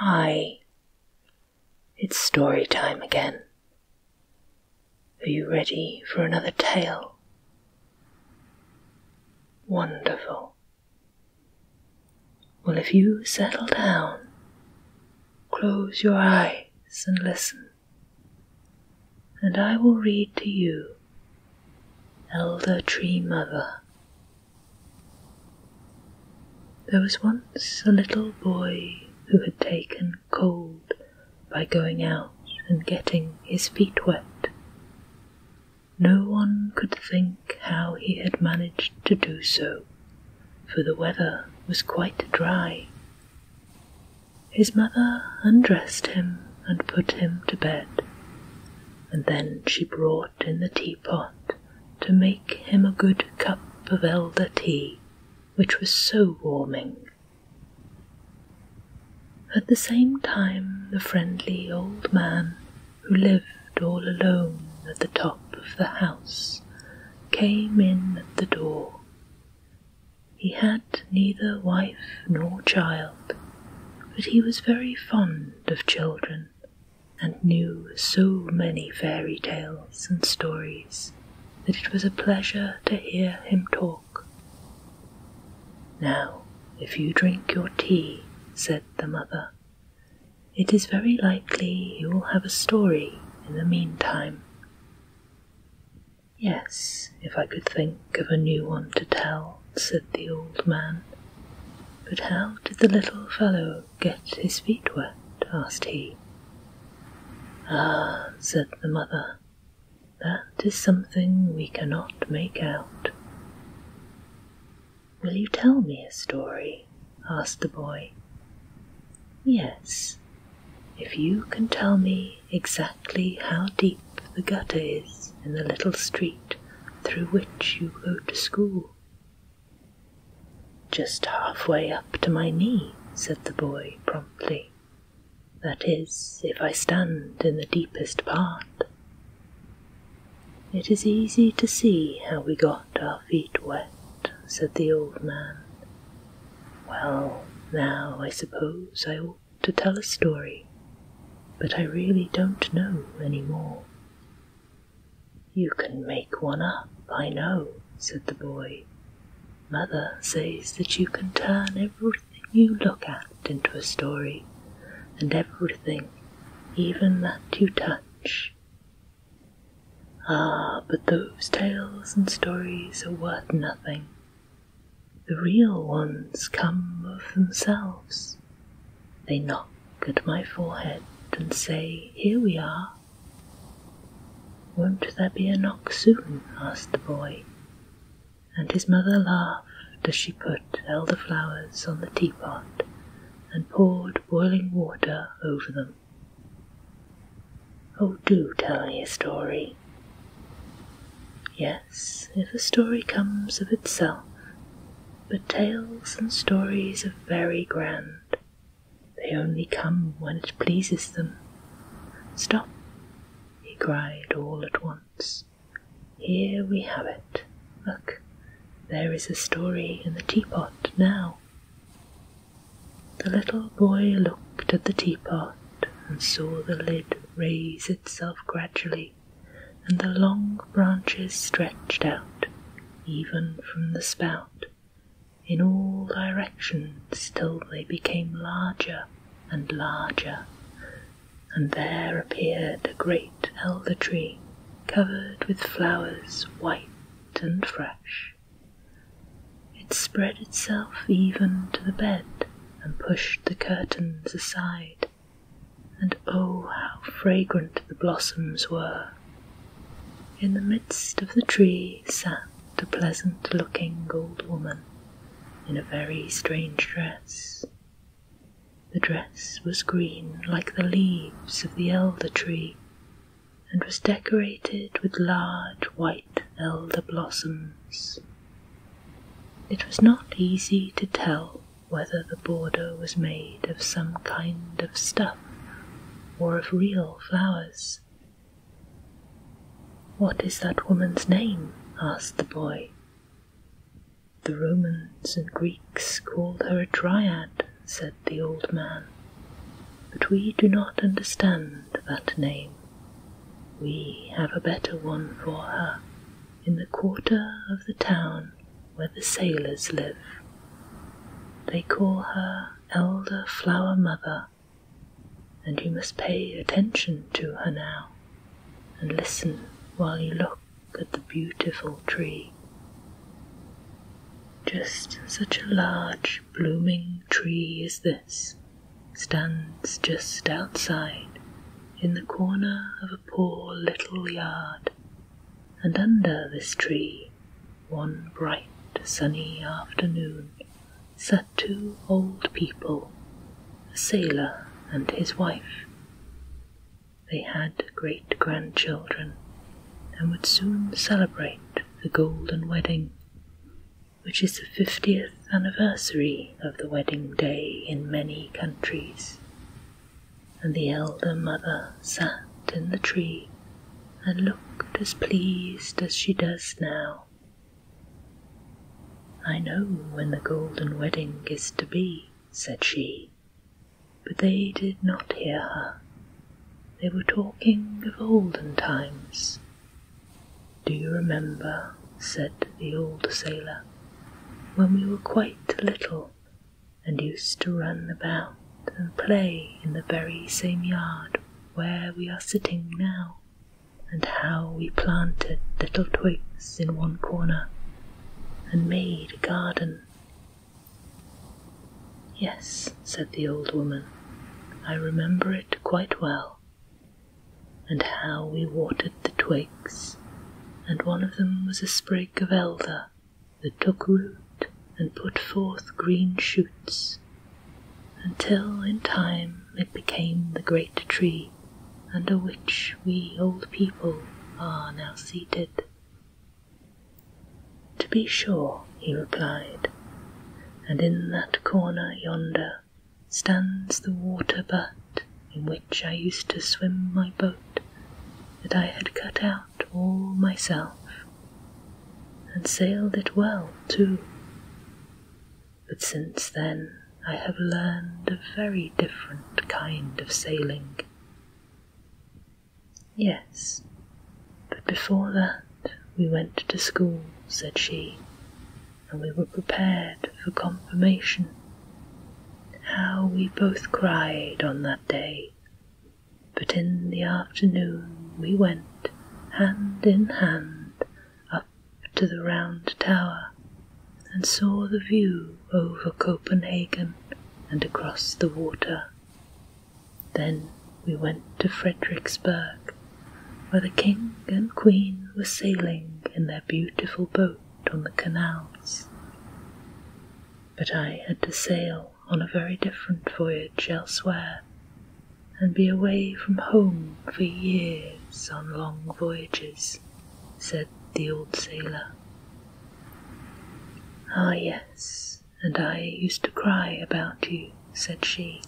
Hi, it's story time again. Are you ready for another tale? Wonderful. Well, if you settle down, close your eyes and listen, and I will read to you Elder Tree Mother there was once a little boy who had taken cold by going out and getting his feet wet. No one could think how he had managed to do so, for the weather was quite dry. His mother undressed him and put him to bed, and then she brought in the teapot to make him a good cup of elder tea, which was so warming. At the same time, the friendly old man, who lived all alone at the top of the house, came in at the door. He had neither wife nor child, but he was very fond of children and knew so many fairy tales and stories that it was a pleasure to hear him talk. Now, if you drink your tea, said the mother, it is very likely you will have a story in the meantime. Yes, if I could think of a new one to tell, said the old man, but how did the little fellow get his feet wet? asked he. Ah, said the mother, that is something we cannot make out. Will you tell me a story? asked the boy. Yes, if you can tell me exactly how deep the gutter is in the little street through which you go to school, just halfway up to my knee, said the boy promptly. That is, if I stand in the deepest part. It is easy to see how we got our feet wet, said the old man. Well, now I suppose I ought to tell a story, but I really don't know any more. You can make one up, I know, said the boy. Mother says that you can turn everything you look at into a story, and everything, even that you touch. Ah, but those tales and stories are worth nothing. The real ones come of themselves. They knock at my forehead and say, Here we are. Won't there be a knock soon? asked the boy, and his mother laughed as she put elder flowers on the teapot and poured boiling water over them. Oh, do tell me a story. Yes, if a story comes of itself, but tales and stories are very grand. They only come when it pleases them. Stop, he cried all at once. Here we have it. Look, there is a story in the teapot now. The little boy looked at the teapot and saw the lid raise itself gradually and the long branches stretched out, even from the spout. In all directions till they became larger and larger, and there appeared a great elder tree covered with flowers white and fresh. It spread itself even to the bed and pushed the curtains aside and oh, how fragrant the blossoms were. In the midst of the tree sat a pleasant looking old woman in a very strange dress. The dress was green like the leaves of the elder tree and was decorated with large white elder blossoms. It was not easy to tell whether the border was made of some kind of stuff or of real flowers. What is that woman's name? asked the boy. The Romans and Greeks called her a dryad, said the old man, but we do not understand that name. We have a better one for her in the quarter of the town where the sailors live. They call her Elder Flower Mother, and you must pay attention to her now and listen while you look at the beautiful tree. Just such a large blooming tree as this stands just outside in the corner of a poor little yard, and under this tree, one bright sunny afternoon, sat two old people, a sailor and his wife. They had great grandchildren and would soon celebrate the golden wedding, which is the fiftieth anniversary of the wedding day in many countries and the elder mother sat in the tree and looked as pleased as she does now. I know when the golden wedding is to be, said she, but they did not hear her. They were talking of olden times. Do you remember, said the old sailor, when we were quite little and used to run about and play in the very same yard where we are sitting now, and how we planted little twigs in one corner and made a garden. Yes, said the old woman, I remember it quite well, and how we watered the twigs, and one of them was a sprig of elder that took root and put forth green shoots, until in time it became the great tree under which we old people are now seated. To be sure, he replied, and in that corner yonder stands the water butt in which I used to swim my boat that I had cut out all myself, and sailed it well too. But since then I have learned a very different kind of sailing. Yes, but before that we went to school, said she, and we were prepared for confirmation. How we both cried on that day, but in the afternoon we went hand in hand up to the round tower and saw the view over Copenhagen and across the water. Then we went to Fredericksburg, where the king and queen were sailing in their beautiful boat on the canals. But I had to sail on a very different voyage elsewhere and be away from home for years on long voyages, said the old sailor. Ah, yes, and I used to cry about you, said she,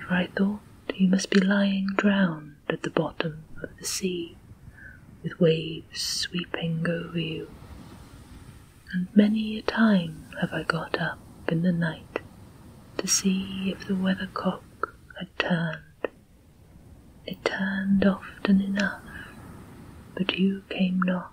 for I thought you must be lying drowned at the bottom of the sea, with waves sweeping over you. And many a time have I got up in the night to see if the weathercock had turned. It turned often enough, but you came not.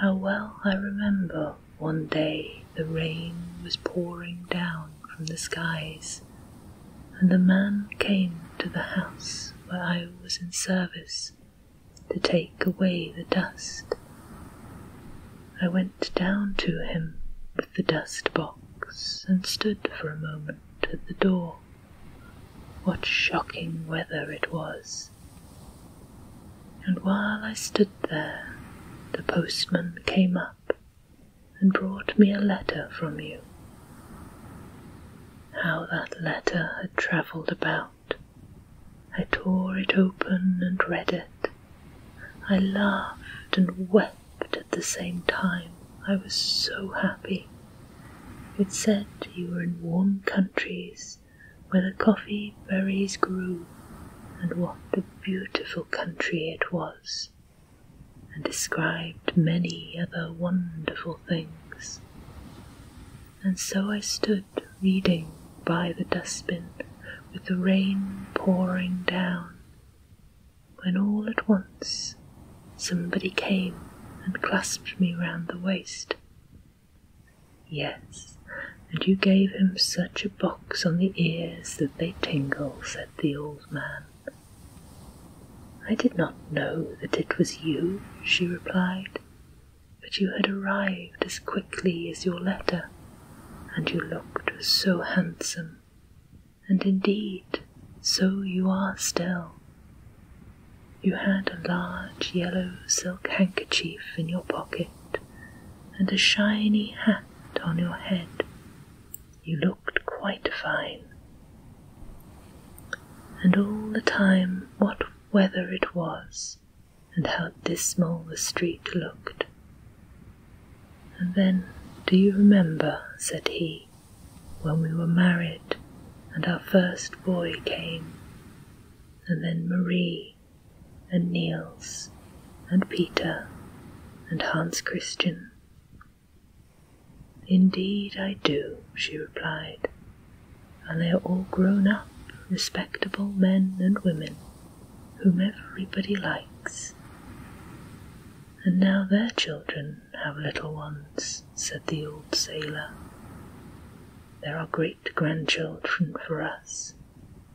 How well I remember one day the rain was pouring down from the skies, and the man came to the house where I was in service to take away the dust. I went down to him with the dust box and stood for a moment at the door. What shocking weather it was! And while I stood there, the postman came up and brought me a letter from you. How that letter had travelled about. I tore it open and read it. I laughed and wept at the same time. I was so happy. It said you were in warm countries where the coffee berries grew, and what a beautiful country it was and described many other wonderful things. And so I stood reading by the dustbin with the rain pouring down, when all at once somebody came and clasped me round the waist. Yes, and you gave him such a box on the ears that they tingle, said the old man. I did not know that it was you, she replied, but you had arrived as quickly as your letter, and you looked so handsome, and indeed so you are still. You had a large yellow silk handkerchief in your pocket, and a shiny hat on your head. You looked quite fine. And all the time, what weather it was, and how dismal the street looked. And then, do you remember, said he, when we were married, and our first boy came, and then Marie, and Niels and Peter and Hans Christian. Indeed, I do, she replied, and they are all grown up, respectable men and women whom everybody likes. And now their children have little ones, said the old sailor. There are great grandchildren for us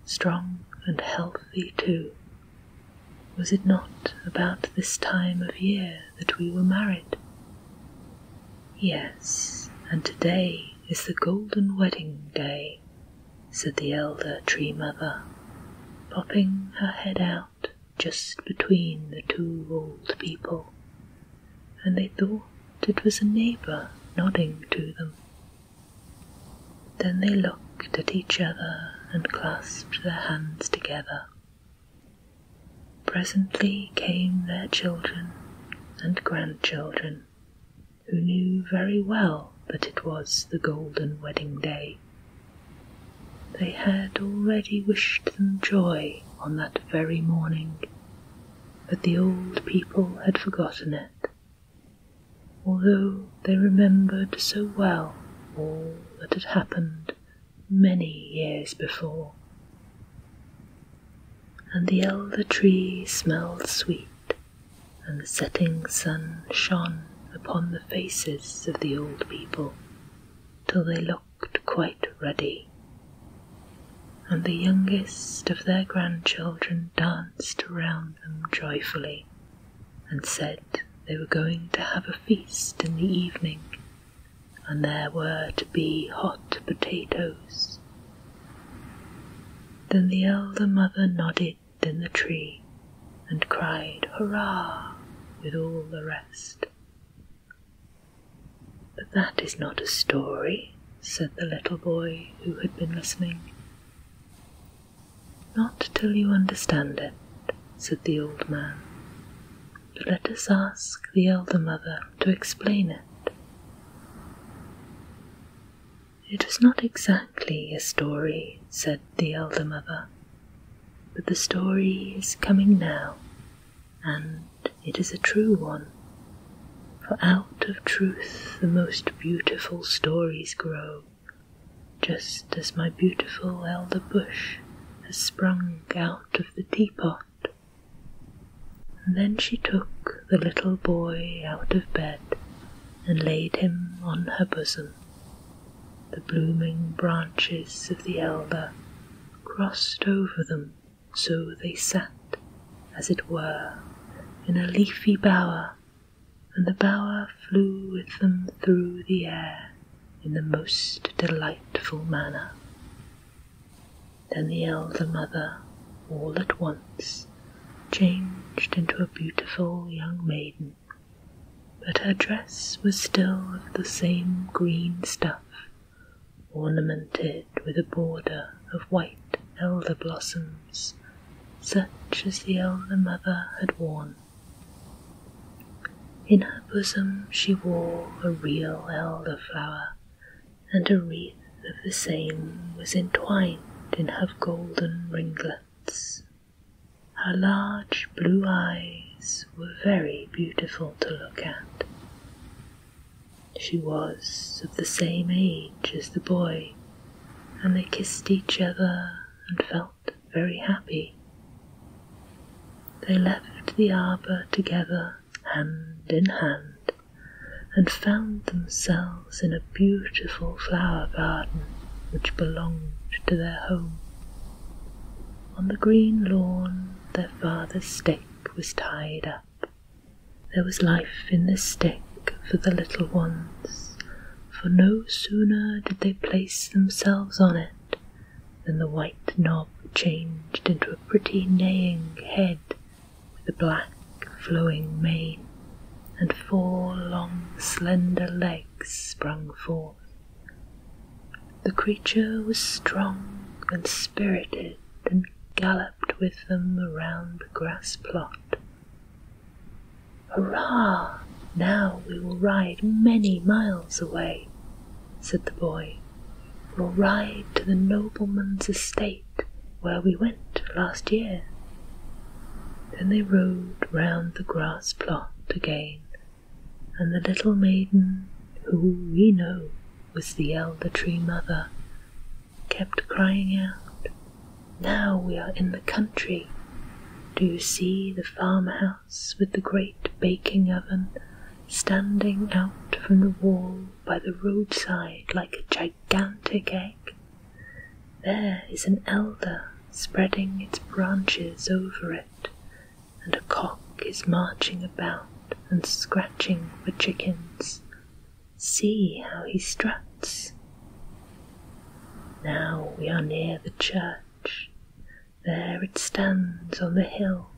strong and healthy too. Was it not about this time of year that we were married? Yes, and today is the golden wedding day, said the elder tree mother, popping her head out just between the two old people, and they thought it was a neighbour nodding to them. Then they looked at each other and clasped their hands together. Presently came their children and grandchildren, who knew very well that it was the golden wedding day. They had already wished them joy on that very morning, but the old people had forgotten it although they remembered so well all that had happened many years before. And the elder tree smelled sweet, and the setting sun shone upon the faces of the old people till they looked quite ruddy. And the youngest of their grandchildren danced around them joyfully and said they were going to have a feast in the evening, and there were to be hot potatoes. Then the elder mother nodded in the tree and cried hurrah with all the rest. But that is not a story, said the little boy who had been listening. Not till you understand it, said the old man. But let us ask the elder mother to explain it. It is not exactly a story, said the elder mother, but the story is coming now, and it is a true one. For out of truth the most beautiful stories grow just as my beautiful elder bush has sprung out of the teapot. And then she took the little boy out of bed and laid him on her bosom. The blooming branches of the elder crossed over them, so they sat, as it were, in a leafy bower and the bower flew with them through the air in the most delightful manner. Then the elder mother, all at once, changed into a beautiful young maiden, but her dress was still of the same green stuff, ornamented with a border of white elder blossom such as the elder mother had worn. In her bosom she wore a real elder flower, and a wreath of the same was entwined in her golden ringlets. Her large blue eyes were very beautiful to look at. She was of the same age as the boy and they kissed each other and felt very happy. They left the arbour together, hand in hand, and found themselves in a beautiful flower garden which belonged to their home. On the green lawn, their father's stake was tied up, there was life in the stick for the little ones, for no sooner did they place themselves on it than the white knob changed into a pretty neighing head with a black flowing mane, and four long slender legs sprung forth. The creature was strong and spirited and galloped with them around the grass plot Hurrah! Now we will ride many miles away, said the boy. We'll ride to the nobleman's estate where we went last year. Then they rode round the grass plot again, and the little maiden, who we know was the elder tree mother, kept crying out, Now we are in the country. Do you see the farmhouse with the great baking oven standing out from the wall by the roadside like a gigantic egg? There is an elder spreading its branches over it, and a cock is marching about and scratching for chickens. See how he struts. Now we are near the church. There it stands on the hill,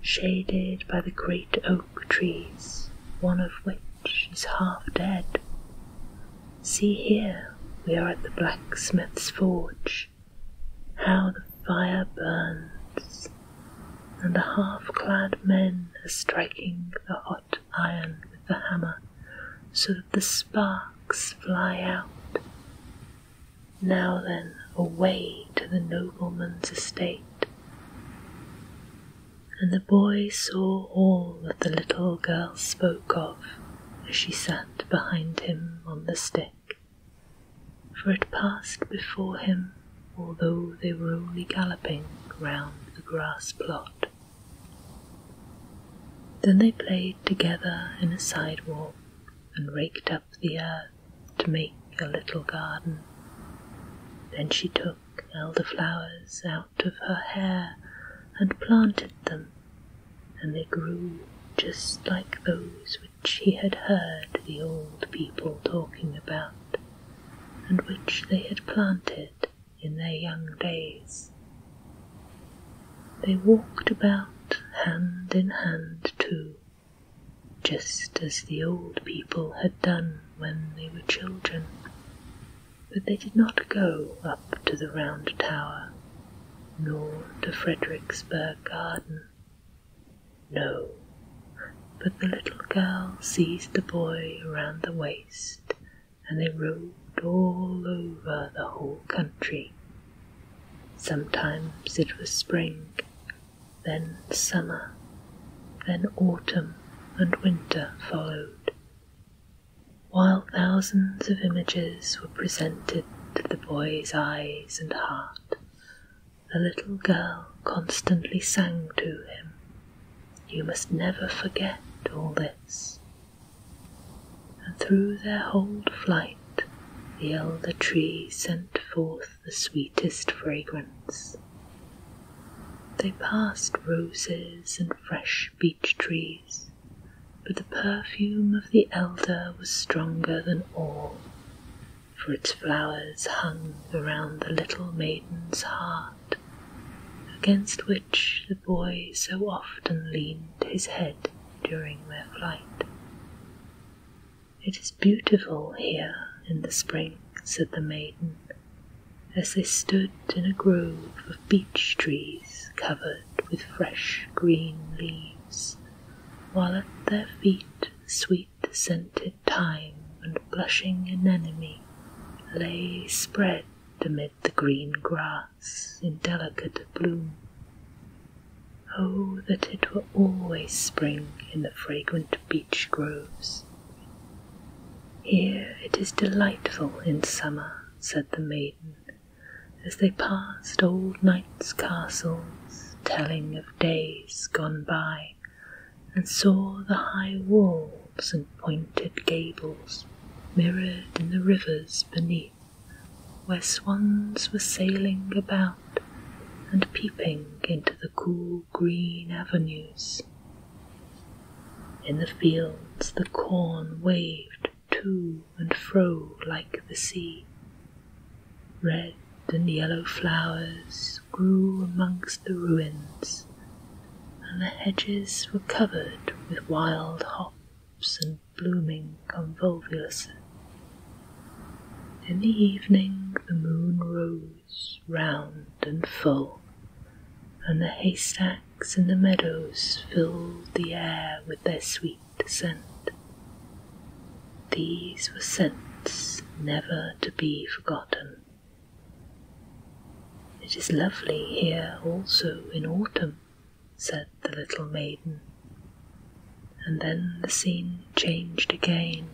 shaded by the great oak trees, one of which is half dead. See here, we are at the blacksmith's forge. How the fire burns, and the half clad men are striking the hot iron with the hammer so that the sparks fly out. Now then, away to the nobleman's estate. And the boy saw all that the little girl spoke of as she sat behind him on the stick, for it passed before him although they were only galloping round the grass plot. Then they played together in a sidewalk and raked up the earth to make a little garden. Then she took flowers out of her hair and planted them, and they grew just like those which he had heard the old people talking about, and which they had planted in their young days. They walked about hand in hand too, just as the old people had done when they were children, but they did not go up to the round tower, nor to Fredericksburg Garden. No, but the little girl seized the boy around the waist, and they rode all over the whole country. Sometimes it was spring, then summer, then autumn and winter followed, while thousands of images were presented to the boy's eyes and heart. The little girl constantly sang to him you must never forget all this. And through their whole flight, the elder tree sent forth the sweetest fragrance. They passed roses and fresh beech trees, but the perfume of the elder was stronger than all, for its flowers hung around the little maiden's heart against which the boy so often leaned his head during their flight. It is beautiful here in the spring, said the maiden, as they stood in a grove of beech trees covered with fresh green leaves, while at their feet sweet scented Time and blushing anemone lay spread amid the green grass in delicate bloom. Oh, that it were always spring in the fragrant beech groves! Here it is delightful in summer, said the maiden, as they passed old knights' castles, telling of days gone by and saw the high walls and pointed gables mirrored in the rivers beneath, where swans were sailing about and peeping into the cool green avenues. In the fields the corn waved to and fro like the sea. Red and yellow flowers grew amongst the ruins, and the hedges were covered with wild hops and blooming convolvulus. In the evening the moon rose round and full, and the haystacks in the meadows filled the air with their sweet scent. These were scents never to be forgotten. It is lovely here also in autumn, said the little maiden. And then the scene changed again.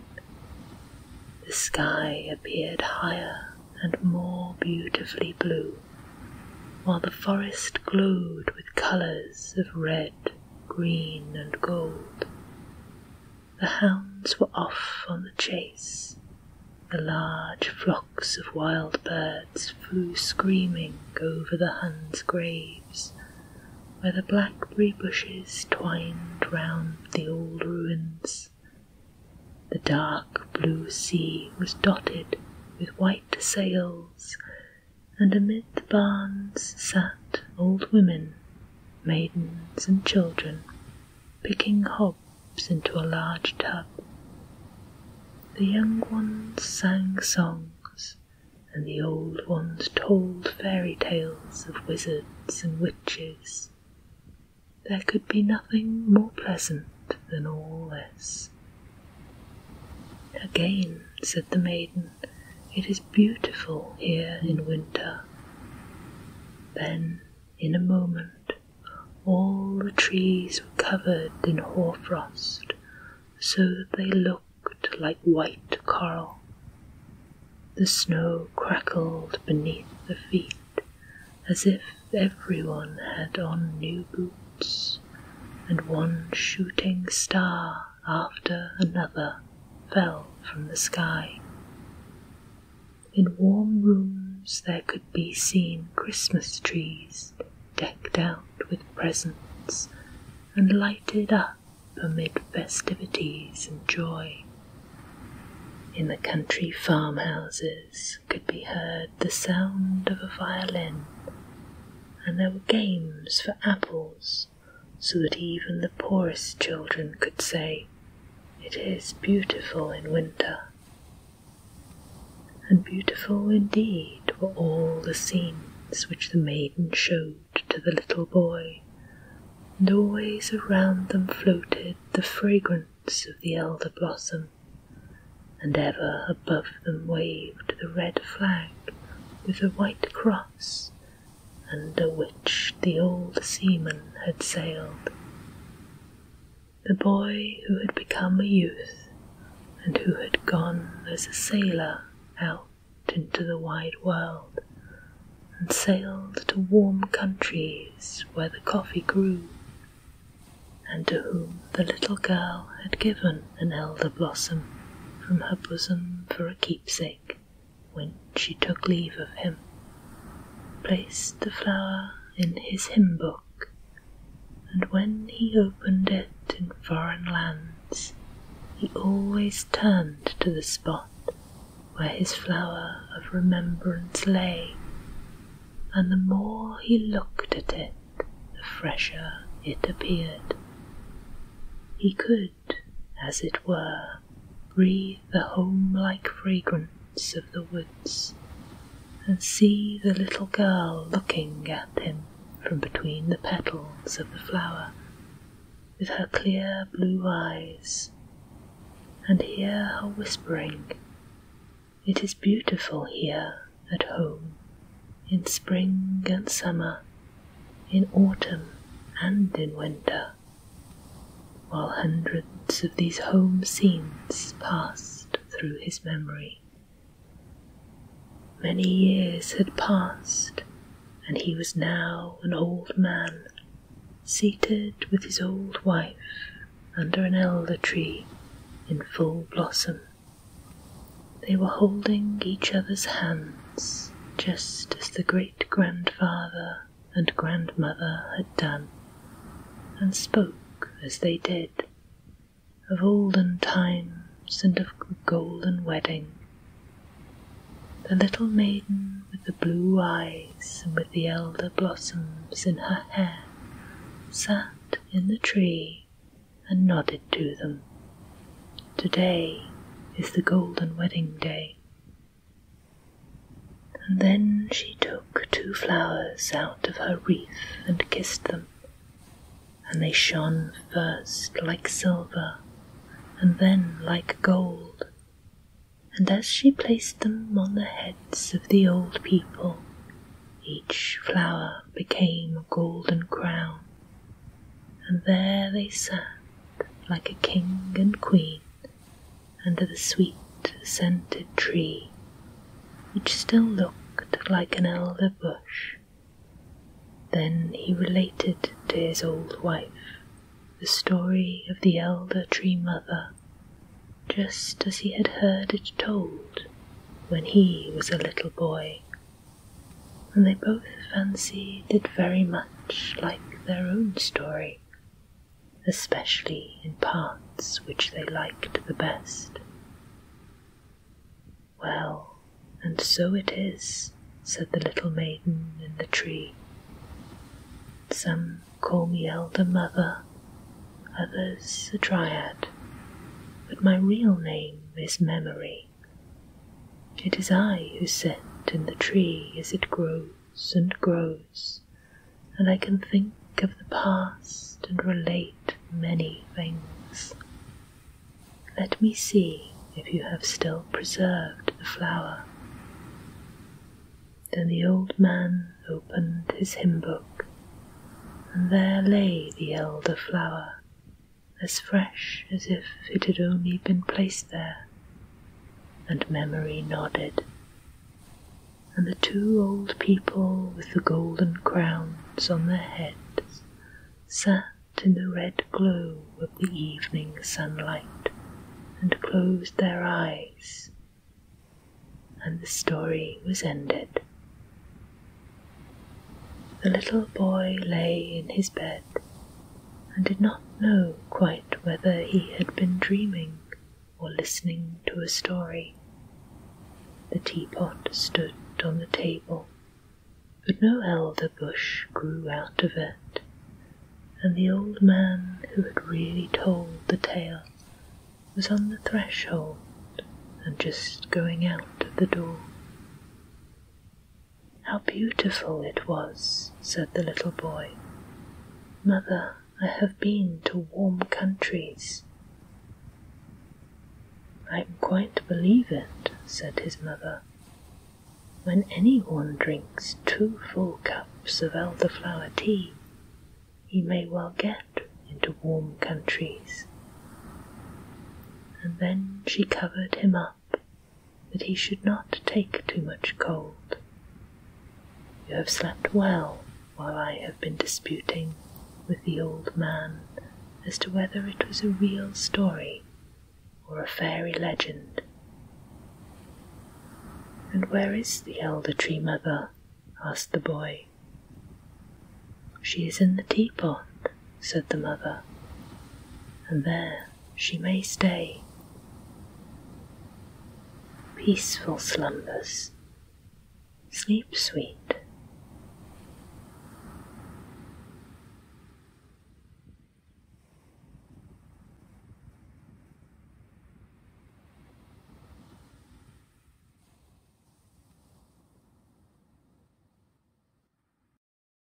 The sky appeared higher and more beautifully blue, while the forest glowed with colours of red, green, and gold. The hounds were off on the chase, the large flocks of wild birds flew screaming over the Huns' graves, where the blackberry bushes twined round the old ruins. The dark blue sea was dotted with white sails, and amid the barns sat old women, maidens, and children picking hops into a large tub. The young ones sang songs, and the old ones told fairy tales of wizards and witches. There could be nothing more pleasant than all this. Again, said the maiden, it is beautiful here in winter. Then in a moment all the trees were covered in hoar-frost so that they looked like white coral. The snow crackled beneath the feet as if everyone had on new boots, and one shooting star after another fell from the sky. In warm rooms there could be seen Christmas trees decked out with presents and lighted up amid festivities and joy. In the country farmhouses could be heard the sound of a violin, and there were games for apples so that even the poorest children could say, It is beautiful in winter. And beautiful indeed were all the scenes which the maiden showed to the little boy, and always around them floated the fragrance of the elder blossom, and ever above them waved the red flag with the white cross under which the old seaman had sailed. The boy who had become a youth and who had gone as a sailor out into the wide world and sailed to warm countries where the coffee grew, and to whom the little girl had given an elder blossom from her bosom for a keepsake when she took leave of him, placed the flower in his hymn book, and when he opened it in foreign lands, he always turned to the spot where his flower of remembrance lay, and the more he looked at it, the fresher it appeared. He could as it were, breathe the home like fragrance of the woods, and see the little girl looking at him from between the petals of the flower with her clear blue eyes, and hear her whispering, It is beautiful here at home, in spring and summer, in autumn and in winter while hundreds of these home scenes passed through his memory. Many years had passed, and he was now an old man, seated with his old wife under an elder tree in full blossom. They were holding each other's hands just as the great grandfather and grandmother had done, and spoke as they did of olden times and of the golden wedding. The little maiden with the blue eyes and with the elder blossoms in her hair sat in the tree and nodded to them. Today is the golden wedding day, and then she took two flowers out of her wreath and kissed them, and they shone first like silver and then like gold. And as she placed them on the heads of the old people, each flower became a golden crown, and there they sat like a king and queen under the sweet scented tree, which still looked like an elder bush. Then he related to his old wife the story of the elder tree mother, just as he had heard it told when he was a little boy and they both fancied it very much like their own story, especially in parts which they liked the best. Well, and so it is, said the little maiden in the tree. Some call me Elder Mother, others a Dryad, but my real name is Memory. It is I who sit in the tree as it grows and grows, and I can think of the past and relate many things. Let me see if you have still preserved the flower. Then the old man opened his hymn book, and there lay the elder flower as fresh as if it had only been placed there, and memory nodded. And the two old people with the golden crowns on their heads sat in the red glow of the evening sunlight and closed their eyes, and the story was ended. The little boy lay in his bed and did not know quite whether he had been dreaming or listening to a story. The teapot stood on the table, but no elder bush grew out of it, and the old man who had really told the tale was on the threshold and just going out of the door. How beautiful it was, said the little boy. Mother, I have been to warm countries. I quite believe it, said his mother. When any one drinks two full cups of elderflower tea, he may well get into warm countries. And then she covered him up up that he should not take too much cold. You have slept well while I have been disputing with the old man as to whether it was a real story or a fairy legend. And where is the elder tree mother? asked the boy. She is in the teapot, said the mother, and there she may stay. Peaceful slumbers, sleep sweet.